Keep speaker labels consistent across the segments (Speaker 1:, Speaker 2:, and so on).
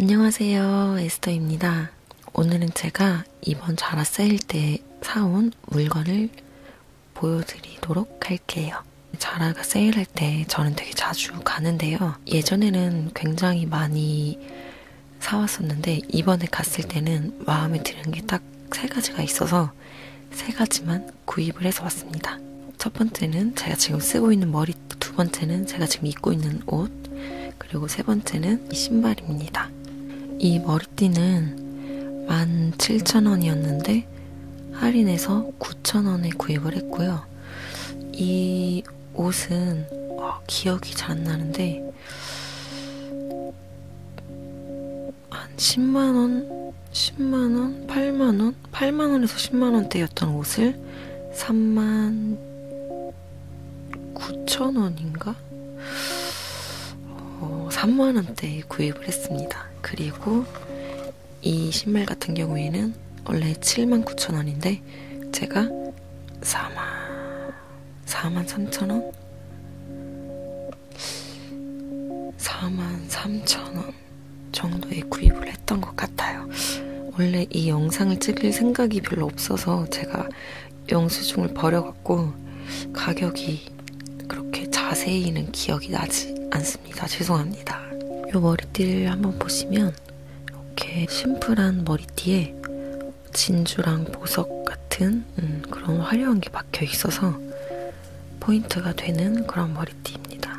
Speaker 1: 안녕하세요. 에스터입니다. 오늘은 제가 이번 자라 세일 때 사온 물건을 보여드리도록 할게요. 자라가 세일할 때 저는 되게 자주 가는데요. 예전에는 굉장히 많이 사왔었는데 이번에 갔을 때는 마음에 드는 게 딱 세 가지가 있어서 세 가지만 구입을 해서 왔습니다. 첫 번째는 제가 지금 쓰고 있는 머리 머리 두 번째는 제가 지금 입고 있는 옷, 그리고 세 번째는 이 신발입니다. 이 머리띠는 17,000원이었는데 할인해서 9,000원에 구입을 했고요. 이 옷은 어, 기억이 잘 안 나는데 한 10만원, 10만원, 8만원, 8만원에서 10만원대였던 옷을 3만 9,000원인가? 어, 3만원대에 구입을 했습니다. 그리고 이 신발 같은 경우에는 원래 79,000원인데 제가 4만 43,000원? 43,000원 정도에 구입을 생각을 했던 것 같아요. 원래 이 영상을 찍을 생각이 별로 없어서 제가 영수증을 버려갖고 가격이 그렇게 자세히는 기억이 나지 않습니다. 죄송합니다. 요 머리띠를 한번 보시면 이렇게 심플한 머리띠에 진주랑 보석 같은 음, 그런 화려한 게 박혀 있어서 포인트가 되는 그런 머리띠입니다.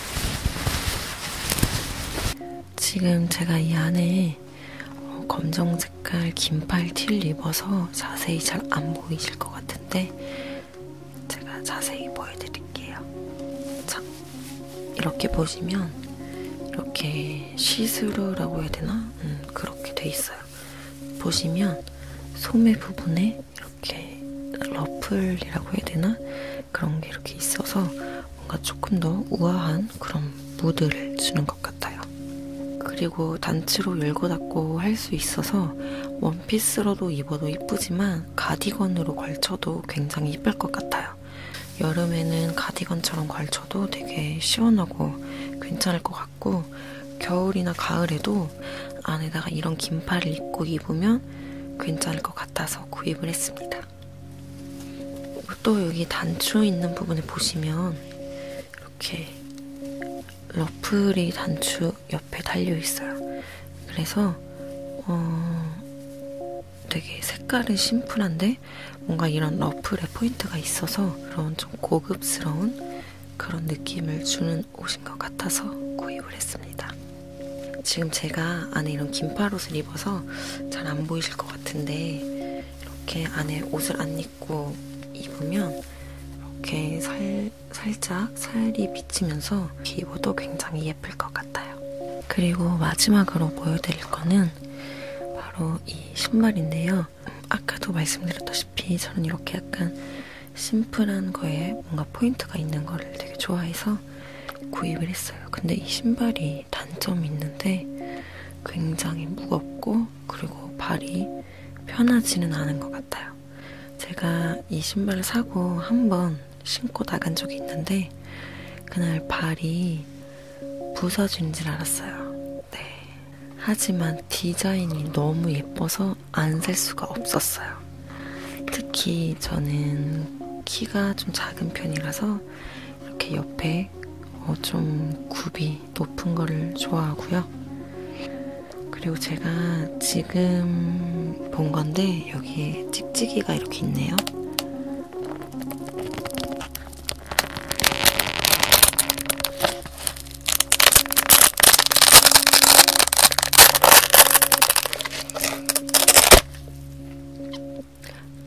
Speaker 1: 지금 제가 이 안에 어, 검정 색깔 긴팔 티를 입어서 자세히 잘 안 보이실 것 같은데 제가 자세히 보여드릴게요. 자, 이렇게 보시면 이렇게 시스루라고 해야 되나? 음, 그렇게 돼 있어요. 보시면 소매 부분에 이렇게 러플이라고 해야 되나? 그런 게 이렇게 있어서 뭔가 조금 더 우아한 그런 무드를 주는 것 같아요. 그리고 단추로 열고 닫고 할 수 있어서 원피스로도 입어도 이쁘지만 가디건으로 걸쳐도 굉장히 이쁠 것 같아요. 여름에는 가디건처럼 걸쳐도 되게 시원하고 괜찮을 것 같고 겨울이나 가을에도 안에다가 이런 긴팔을 입고 입으면 괜찮을 것 같아서 구입을 했습니다. 또 여기 단추 있는 부분을 보시면 이렇게 러플이 단추 옆에 달려 있어요. 그래서 어 되게 색깔은 심플한데 뭔가 이런 러플의 포인트가 있어서 그런 좀 고급스러운 그런 느낌을 주는 괜찮은 옷인 것 같아서 구입을 했습니다. 지금 제가 안에 이런 긴팔 옷을 입어서 잘 안 보이실 것 같은데 이렇게 안에 옷을 안 입고 입으면 이렇게 살, 살짝 살이 비치면서 입어도 굉장히 예쁠 것 같아요. 그리고 마지막으로 보여드릴 거는 바로 이 신발인데요. 아까도 말씀드렸다시피 저는 이렇게 약간 심플한 거에 뭔가 포인트가 있는 거를 되게 좋아해서 구입을 했어요. 근데 이 신발이 단점이 있는데 굉장히 무겁고 그리고 발이 편하지는 않은 것 같아요. 제가 이 신발을 사고 한 번 신고 나간 적이 있는데 그날 발이 부서진 줄 알았어요. 네. 하지만 디자인이 너무 예뻐서 그래서 안셀 수가 없었어요. 특히 저는 키가 좀 작은 편이라서 이렇게 옆에 어좀 굽이 높은 거를 좋아하고요. 그리고 제가 지금 본 건데 여기에 찍찍이가 이렇게 있네요.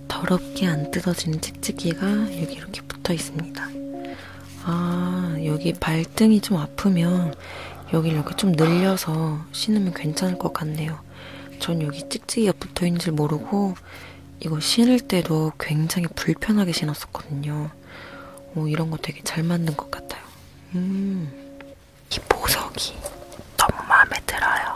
Speaker 1: 더럽게 안 뜯어진 찍찍이가 여기 이렇게 붙어 있습니다. 아, 여기 발등이 좀 아프면 여기 이렇게 좀 늘려서 신으면 괜찮을 것 같네요. 전 여기 찍찍이가 붙어 있는 줄 모르고 이거 신을 때도 굉장히 불편하게 신었었거든요. 오, 이런 거 되게 잘 만든 것 같아요. 음. 이 보석이 너무 마음에 들어요.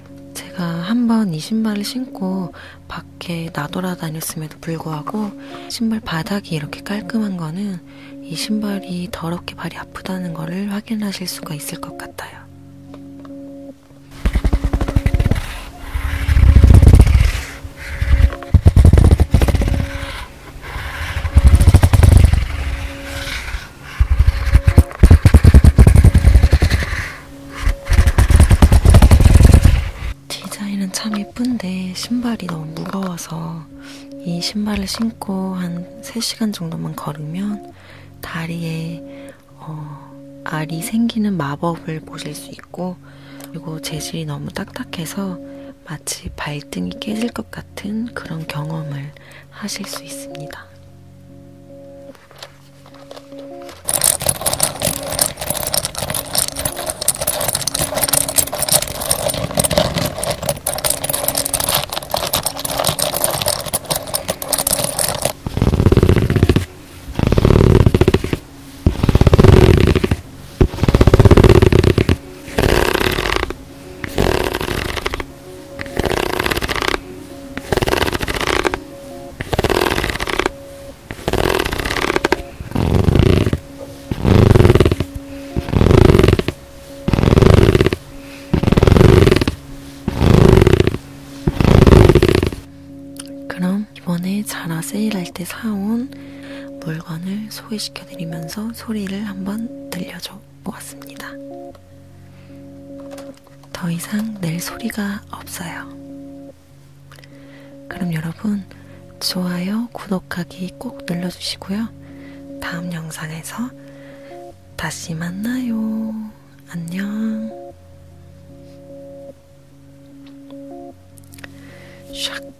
Speaker 1: 제가 한번이 신발을 신고 밖에 나돌아다녔음에도 불구하고 신발 바닥이 이렇게 깔끔한 거는 이 신발이 더럽게 발이 아프다는 거를 확인하실 수가 있을 것 같아요. 디자인은 참 예쁜데 신발이 너무 무거워서 이 신발을 신고 한 3시간 정도만 걸으면 다리에 어, 알이 생기는 마법을 보실 수 있고 그리고 재질이 너무 딱딱해서 마치 발등이 깨질 것 같은 그런 경험을 하실 수 있습니다. 그럼 이번에 자라 세일할 때 사온 물건을 소개시켜 드리면서 소리를 한번 들려줘. 모았습니다. 더 이상 낼 소리가 없어요. 그럼 여러분, 좋아요, 구독하기 꼭 눌러주시고요. 다음 영상에서 다시 만나요. 안녕. 샥.